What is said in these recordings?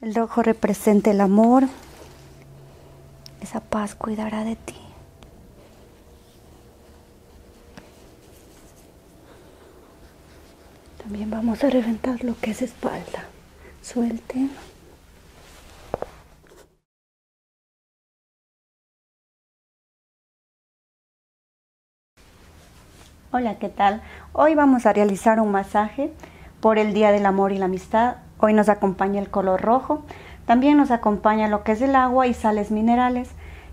El rojo representa el amor. Esa paz cuidará de ti. También vamos a reventar lo que es espalda. Suelten. Hola, ¿qué tal? Hoy vamos a realizar un masaje por el Día del Amor y la Amistad. Hoy nos acompaña el color rojo. También nos acompaña lo que es el agua y sales minerales,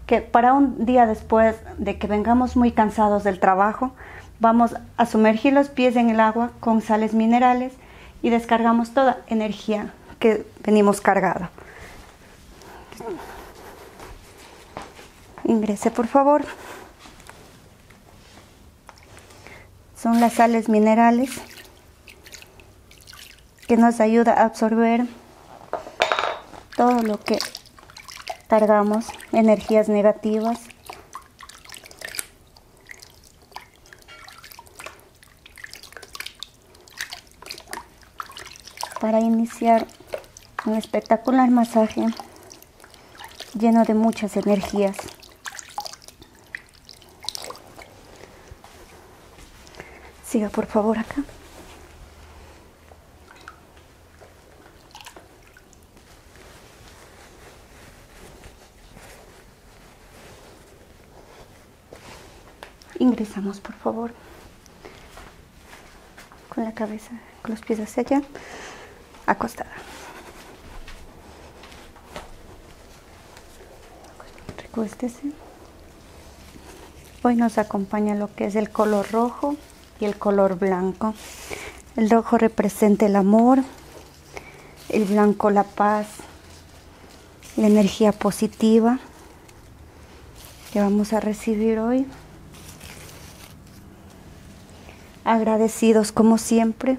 que para un día después de que vengamos muy cansados del trabajo, vamos a sumergir los pies en el agua con sales minerales y descargamos toda energía que venimos cargada. Ingrese, por favor. Son las sales minerales que nos ayuda a absorber todo lo que cargamos, energías negativas. Para iniciar un espectacular masaje lleno de muchas energías. Siga por favor acá. Ingresamos por favor con la cabeza, con los pies hacia allá acostada. Hoy nos acompaña lo que es el color rojo y el color blanco. El rojo representa el amor, el blanco la paz, la energía positiva que vamos a recibir hoy agradecidos como siempre.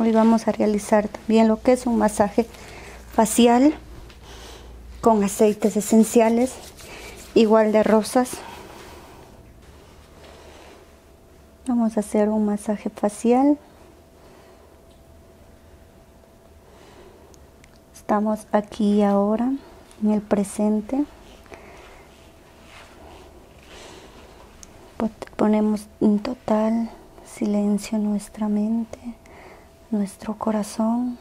Hoy vamos a realizar también lo que es un masaje facial con aceites esenciales, igual de rosas. Vamos a hacer un masaje facial Estamos aquí ahora, en el presente. Pues, ponemos en total silencio nuestra mente, nuestro corazón.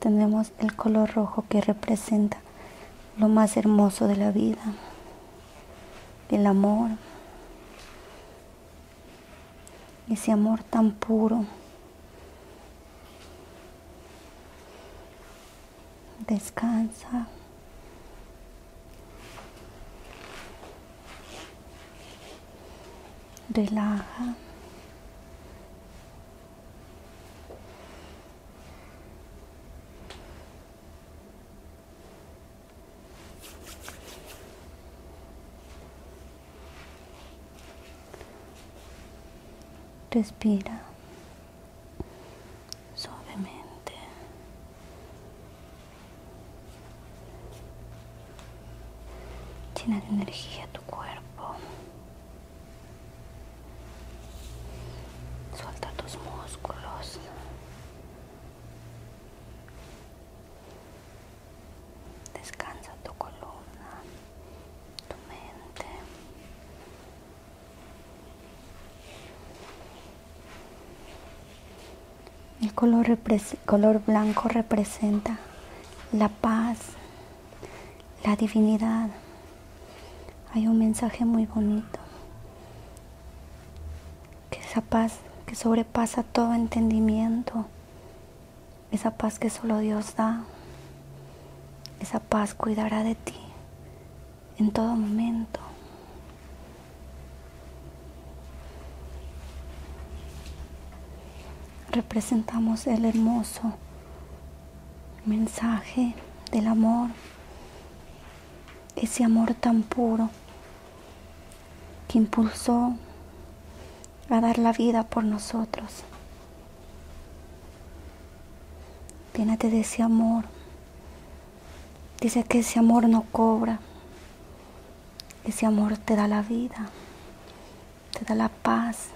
Tenemos el color rojo que representa lo más hermoso de la vida, el amor, ese amor tan puro, descansa. Relaja. Respira suavemente. Llena de energía tu cuerpo. Suelta tus músculos. Descansa tu columna, tu mente. El color, color blanco representa la paz, la divinidad. Hay un mensaje muy bonito. Que esa paz que sobrepasa todo entendimiento esa paz que solo Dios da, esa paz cuidará de ti en todo momento. Representamos el hermoso mensaje del amor, ese amor tan puro que impulsó a dar la vida por nosotros. llenate de ese amor. Dice que ese amor no cobra. Ese amor te da la vida, te da la paz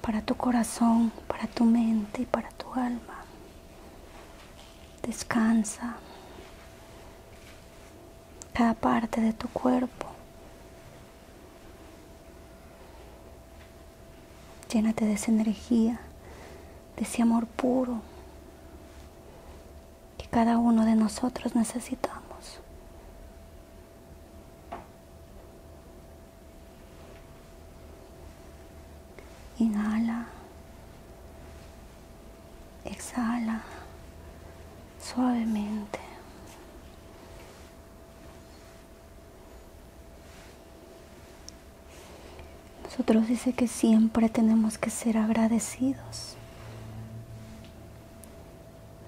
para tu corazón, para tu mente y para tu alma. Descansa cada parte de tu cuerpo Llénate de esa energía, de ese amor puro que cada uno de nosotros necesitamos. Inhala, exhala suavemente. Nosotros dice que siempre tenemos que ser agradecidos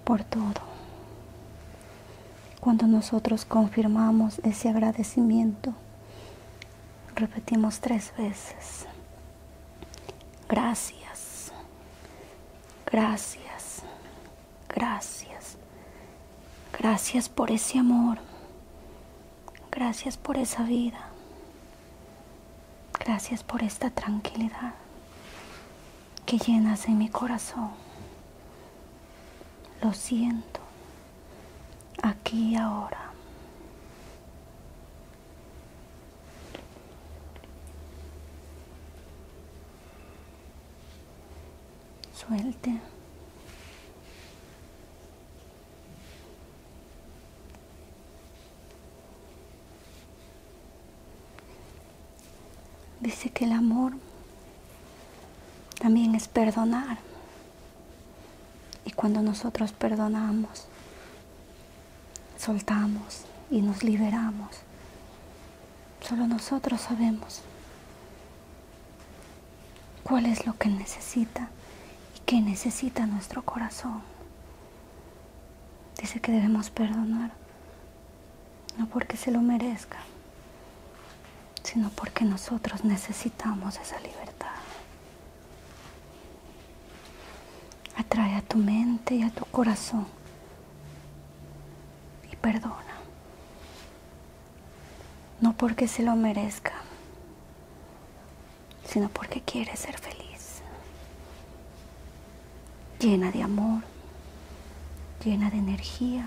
por todo. Cuando nosotros confirmamos ese agradecimiento, repetimos tres veces. Gracias, gracias, Gracias. Gracias por ese amor. Gracias por esa vida. Gracias por esta tranquilidad que llenas en mi corazón. Lo siento. Aquí y ahora. Suelte. Dice que el amor también es perdonar. Y cuando nosotros perdonamos, soltamos y nos liberamos Solo nosotros sabemos cuál es lo que necesita y qué necesita nuestro corazón. Dice que debemos perdonar, no porque se lo merezca, sino porque nosotros necesitamos esa libertad. Atrae a tu mente y a tu corazón y perdona. No porque se lo merezca, sino porque quiere ser feliz. Llena de amor, llena de energía.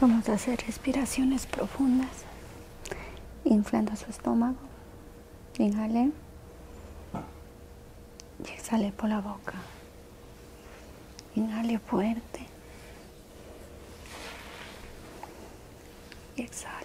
Vamos a hacer respiraciones profundas, inflando su estómago, inhale y exhale por la boca. Inhale fuerte y exhale.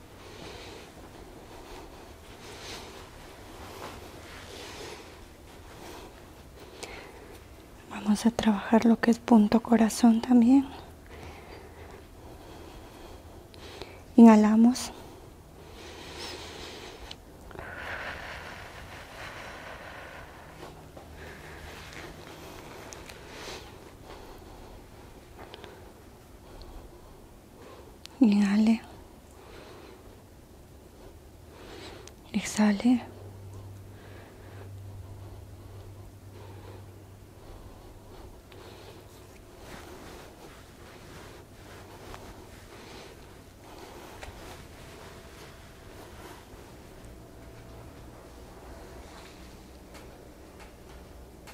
Vamos a trabajar lo que es punto corazón también. Inhalamos. Inhale. Exhale.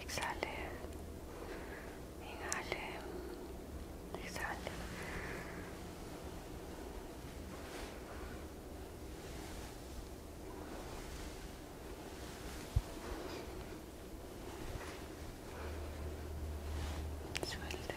exhale, inhale, exhale. Suelte. Exhale.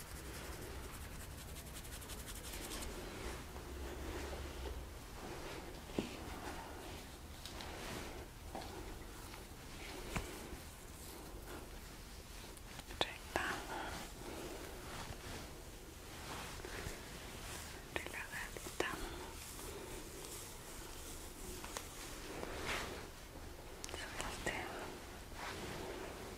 Recta. Relajadita. Suelte.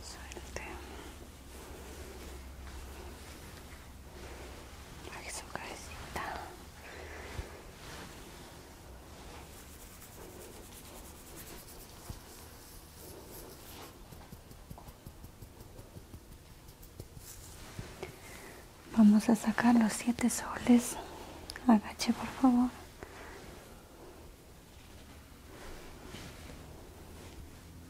Suerte. Vamos a sacar los siete soles. Agache, por favor.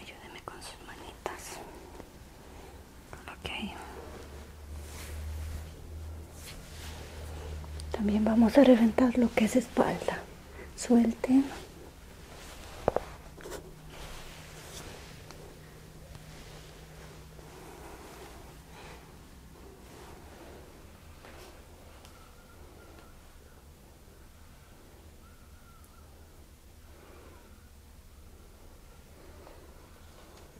Ayúdeme con sus manitas. Ok. También vamos a reventar lo que es espalda. Suelten.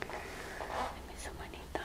Deme su manita.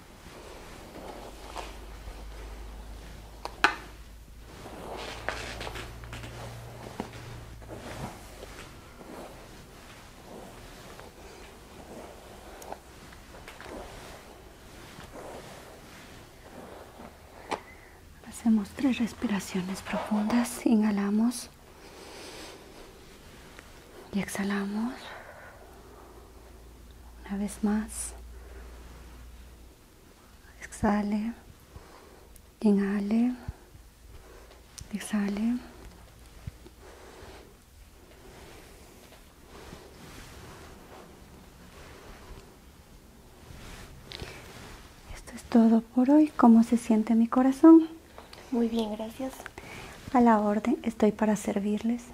Hacemos tres respiraciones profundas. Inhalamos y exhalamos. Una vez más. Exhale. Inhale. Exhale. Esto es todo por hoy. ¿Cómo se siente mi corazón? Muy bien, gracias. A la orden, estoy para servirles.